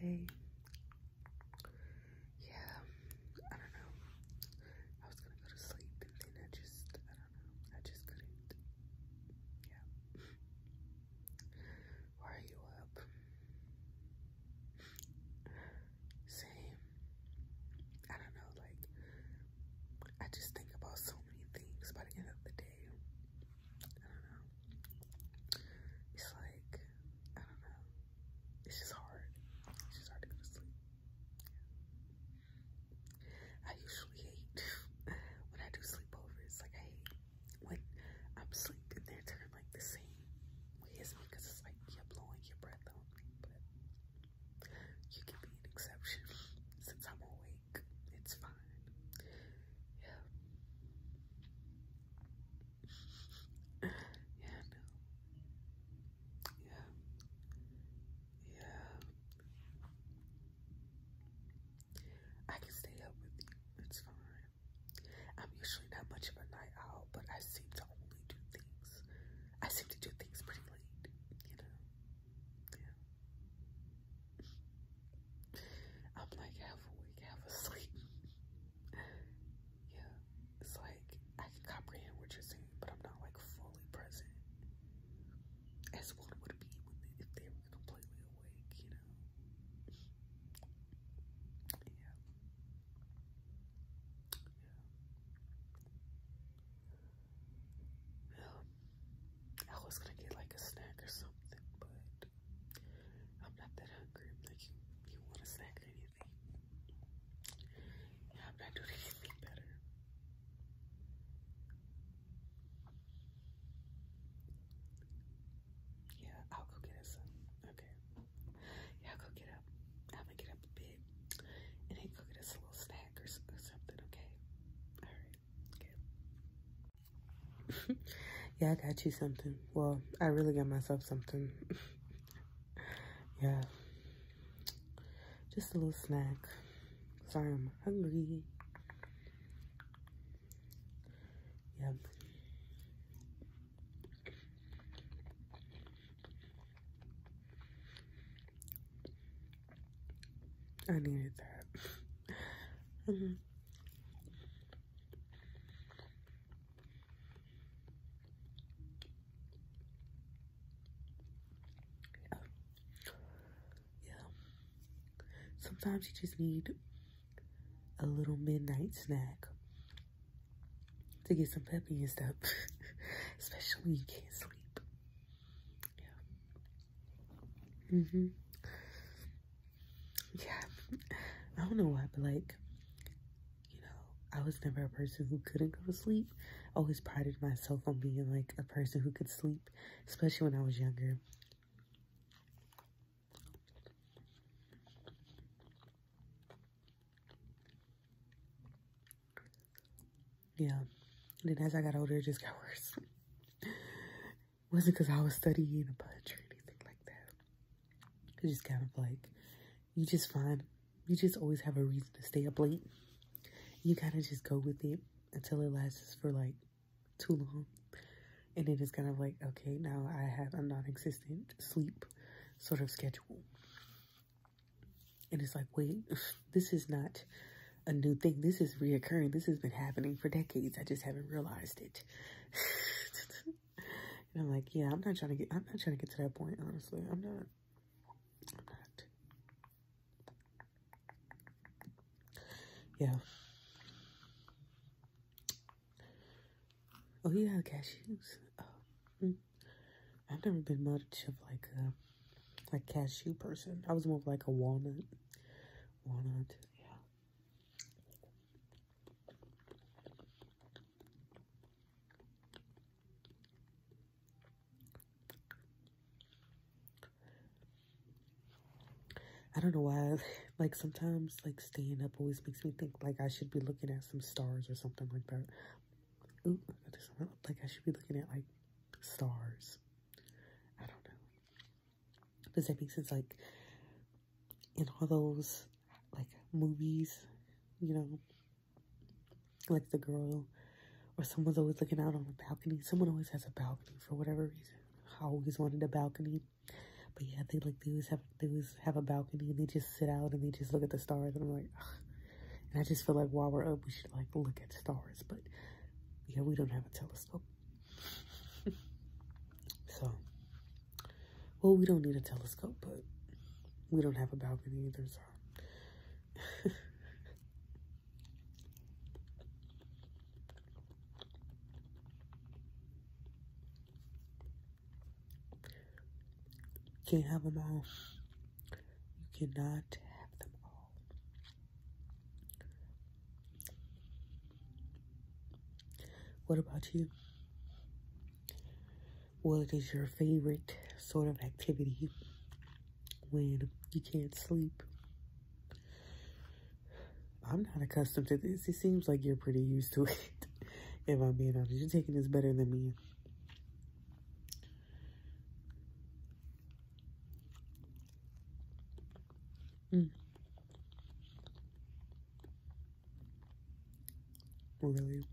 Hey. Yeah, I don't know. I was gonna go to sleep and then I just, I don't know. I just couldn't. Yeah. Why are you up? Same. I don't know, like, I just think about so many things by the end of the day. I don't know. It's like, I don't know. It's just hard. It's just hard to go to sleep. I usually hate when I do sleepovers. Like, I hate when I'm asleep and they're turning like the same way me because it's like you're blowing your breath on me. But you can be an exception since I'm awake. It's fine. Yeah. yeah, no. Yeah. Yeah. I can stay up with you. It's fine. I'm usually not much of a night owl, but I seem to only do things. I seem to do things pretty late, you know. Yeah. I'm like half awake, half asleep. yeah, it's like I can comprehend what you're saying, but I'm not like fully present. As one would be if they were completely awake, you know. Yeah. Yeah. I was gonna get like a snack or something, but I'm not that hungry. I'm like, you, want a snack or anything? Yeah, i will go get us Okay. Yeah, I'll go get up. I'm gonna get up a bit and then go get us a little snack or, something, okay? Alright, good. yeah, I got you something. Well, I really got myself something. yeah. Just a little snack. Sorry, I am hungry. Yep. I needed that. Mm-hmm yeah. Sometimes you just need a little midnight snack to get some pep in your step, especially when you can't sleep. Yeah. Mm-hmm. Yeah. I don't know why, but like, you know, I was never a person who couldn't go to sleep. I always prided myself on being like a person who could sleep, especially when I was younger. Yeah. And then as I got older, it just got worse wasn't because I was studying poetry or anything like that. It's just kind of like, you just find, you just always have a reason to stay up late. You kind of just go with it until it lasts for like too long. And then it's kind of like, okay, now I have a non-existent sleep sort of schedule. And it's like, wait, this is not a new thing. This is reoccurring. This has been happening for decades. I just haven't realized it. and I'm like, yeah, I'm not trying to get, I'm not trying to get to that point, honestly. I'm not. I'm not. Yeah. Oh, you yeah, have cashews. Oh, hmm. I've never been much of like a, a cashew person. I was more like a walnut one or two, yeah. I don't know why, like sometimes like staying up always makes me think like I should be looking at some stars or something like that. Ooh, I just, like I should be looking at like stars. I don't know. Does that make sense? Like, in all those, like, movies, you know, like the girl or someone's always looking out on a balcony. Someone always has a balcony for whatever reason. I always wanted a balcony. But yeah, they like they always have they always have a balcony and they just sit out and they just look at the stars and I'm like and I just feel like while we're up we should like look at stars but yeah we don't have a telescope so, well, we don't need a telescope, but we don't have a balcony either, so. Can't have them all. You cannot have them all. What about you? What is your favorite sort of activity when you can't sleep? I'm not accustomed to this. It seems like you're pretty used to it. if I'm being honest, you're taking this better than me. Mm. Really?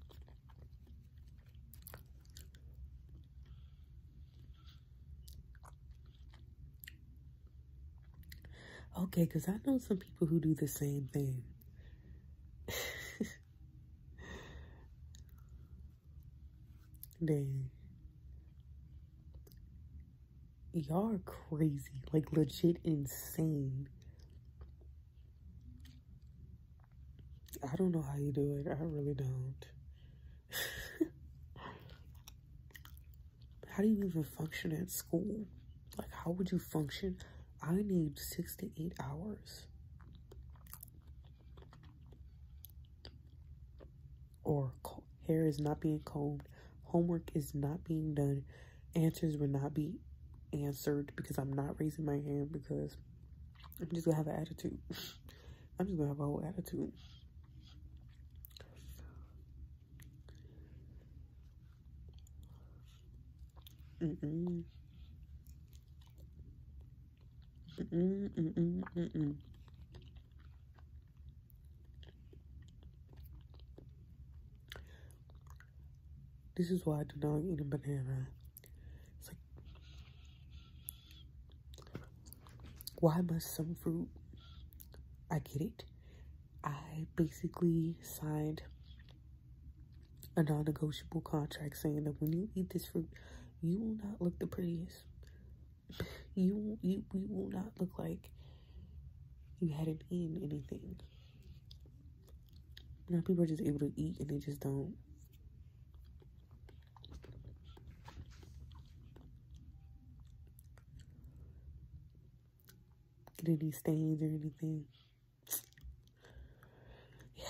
Okay, because I know some people who do the same thing. Dang. Y'all are crazy. Like, legit insane. I don't know how you do it. I really don't. how do you even function at school? Like, how would you function? I need six to eight hours or hair is not being combed, homework is not being done, answers will not be answered because I'm not raising my hand because I'm just gonna have an attitude. I'm just gonna have a whole attitude. This is why I do not eat a banana. why must some fruit? I get it. I basically signed a non-negotiable contract saying that when you eat this fruit, you will not look the prettiest. You you we will not look like you hadn't eaten anything. Now people are just able to eat and they just don't. Get any stains or anything. Yeah.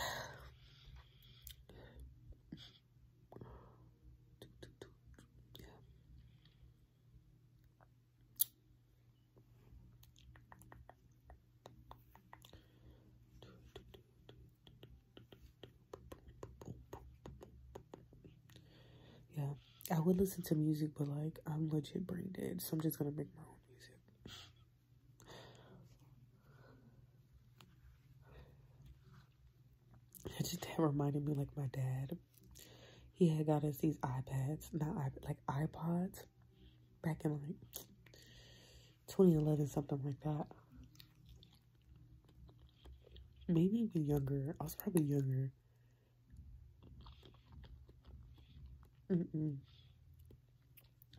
Yeah. I would listen to music, but like I'm legit brain dead, so I'm just gonna make my own music. It just reminded me like my dad. He had got us these iPads, not iPad, like iPods back in like 2011, something like that. Maybe even younger. I was probably younger.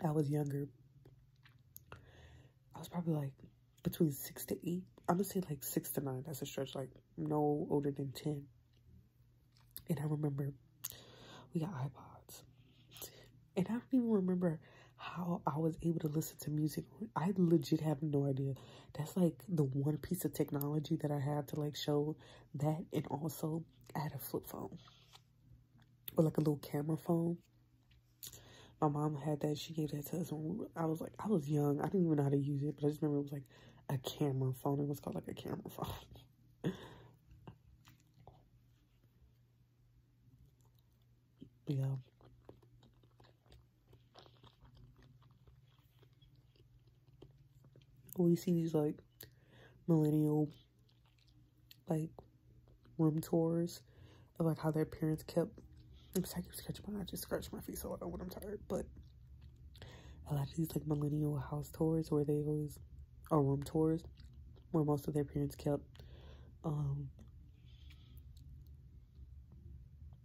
I was younger. I was probably like between six to eight. I'm gonna say like six to nine. That's a stretch. Like no older than ten. And I remember we got iPods, and I don't even remember how I was able to listen to music. I legit have no idea. That's like the one piece of technology that I had to like show that, and also I had a flip phone or like a little camera phone my mom had that. She gave that to us when I was like, I was young. I didn't even know how to use it, but I just remember it was like a camera phone. It was called like a camera phone. yeah. We see these like millennial like room tours of like how their parents kept I'm sorry, I keep scratching my I just scratch my feet so loud when I'm tired, but a lot of these like millennial house tours where they always are room tours where most of their parents kept um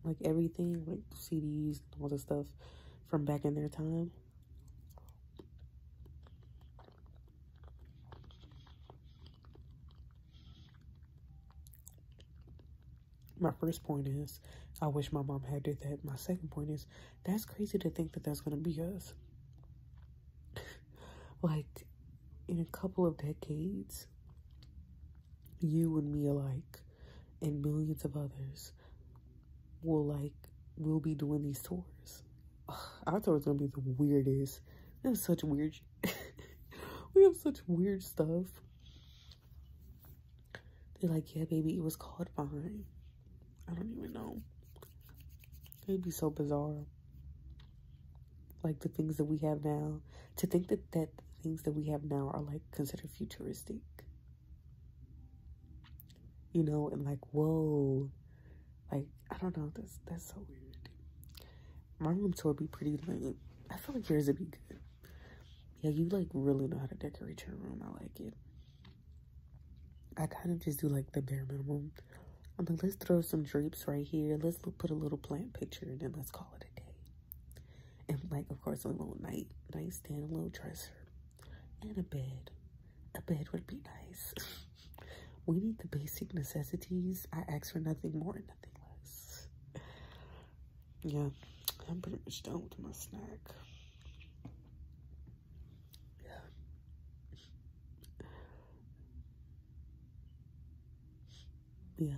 like everything, like CDs, all the stuff from back in their time. My first point is, I wish my mom had did that. My second point is, that's crazy to think that that's going to be us. like, in a couple of decades, you and me alike, and millions of others, will like, will be doing these tours I thought it was gonna be the weirdest. We have such weird, we have such weird stuff. They're like, yeah, baby, it was called Vine. I don't even know. It'd be so bizarre. Like the things that we have now. To think that, that things that we have now are like considered futuristic. You know, and like, whoa, like, I don't know, that's that's so weird. My room tour be pretty lame. I feel like yours would be good. Yeah, you like really know how to decorate your room. I like it. I kind of just do like the bare minimum. I'm like, let's throw some drapes right here. Let's put a little plant picture and then let's call it a day. And like, of course, a little night nightstand, a little dresser, and a bed. A bed would be nice. We need the basic necessities. I ask for nothing more and nothing less. Yeah, I'm pretty much done with my snack. Yeah. Yeah.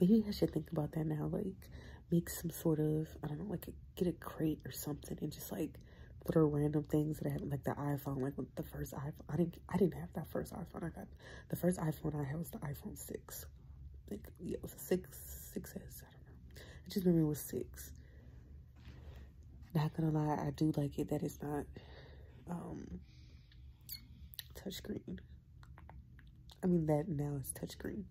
Maybe I should think about that now. Like, make some sort of, I don't know, like get a crate or something and just like little random things that I had, like the iPhone, like the first iPhone. I didn't, I didn't have that first iPhone. I got the first iPhone I had was the iPhone six. Like yeah, it a six, six S. I don't know. I just remember it was six. Not gonna lie, I do like it that it's not um touchscreen. I mean that now it's touchscreen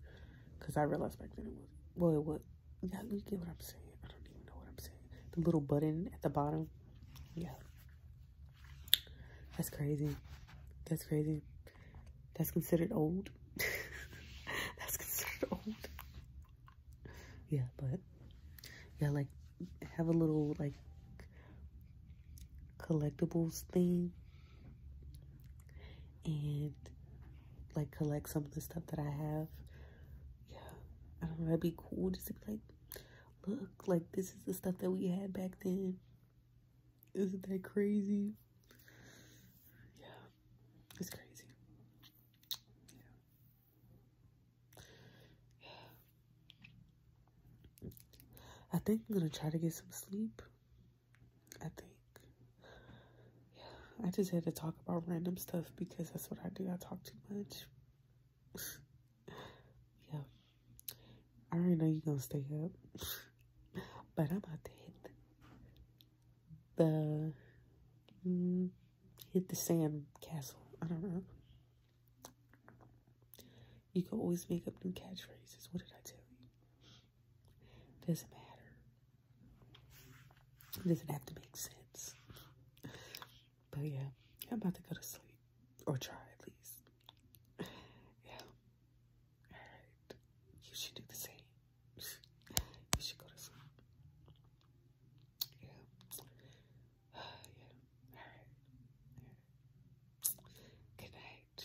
because I realized back then it was well it was yeah, you get what I'm saying. I don't even know what I'm saying. The little button at the bottom. Yeah. That's crazy. That's crazy. That's considered old. That's considered old. Yeah, but yeah, like have a little like collectibles thing and like collect some of the stuff that I have yeah, I don't know. That'd be cool just to be like, look, like this is the stuff that we had back then. Isn't that crazy? Yeah, it's crazy. Yeah. yeah. I think I'm gonna try to get some sleep. I think. I just had to talk about random stuff because that's what I do. I talk too much. yeah. I already know you're going to stay up. but I'm about to hit the, mm, hit the sand castle. I don't know. You can always make up new catchphrases. What did I tell you? Doesn't matter. It doesn't have to make sense. But yeah, I'm about to go to sleep. Or try at least. Yeah. Alright. You should do the same. You should go to sleep. Yeah. Alright. Good night.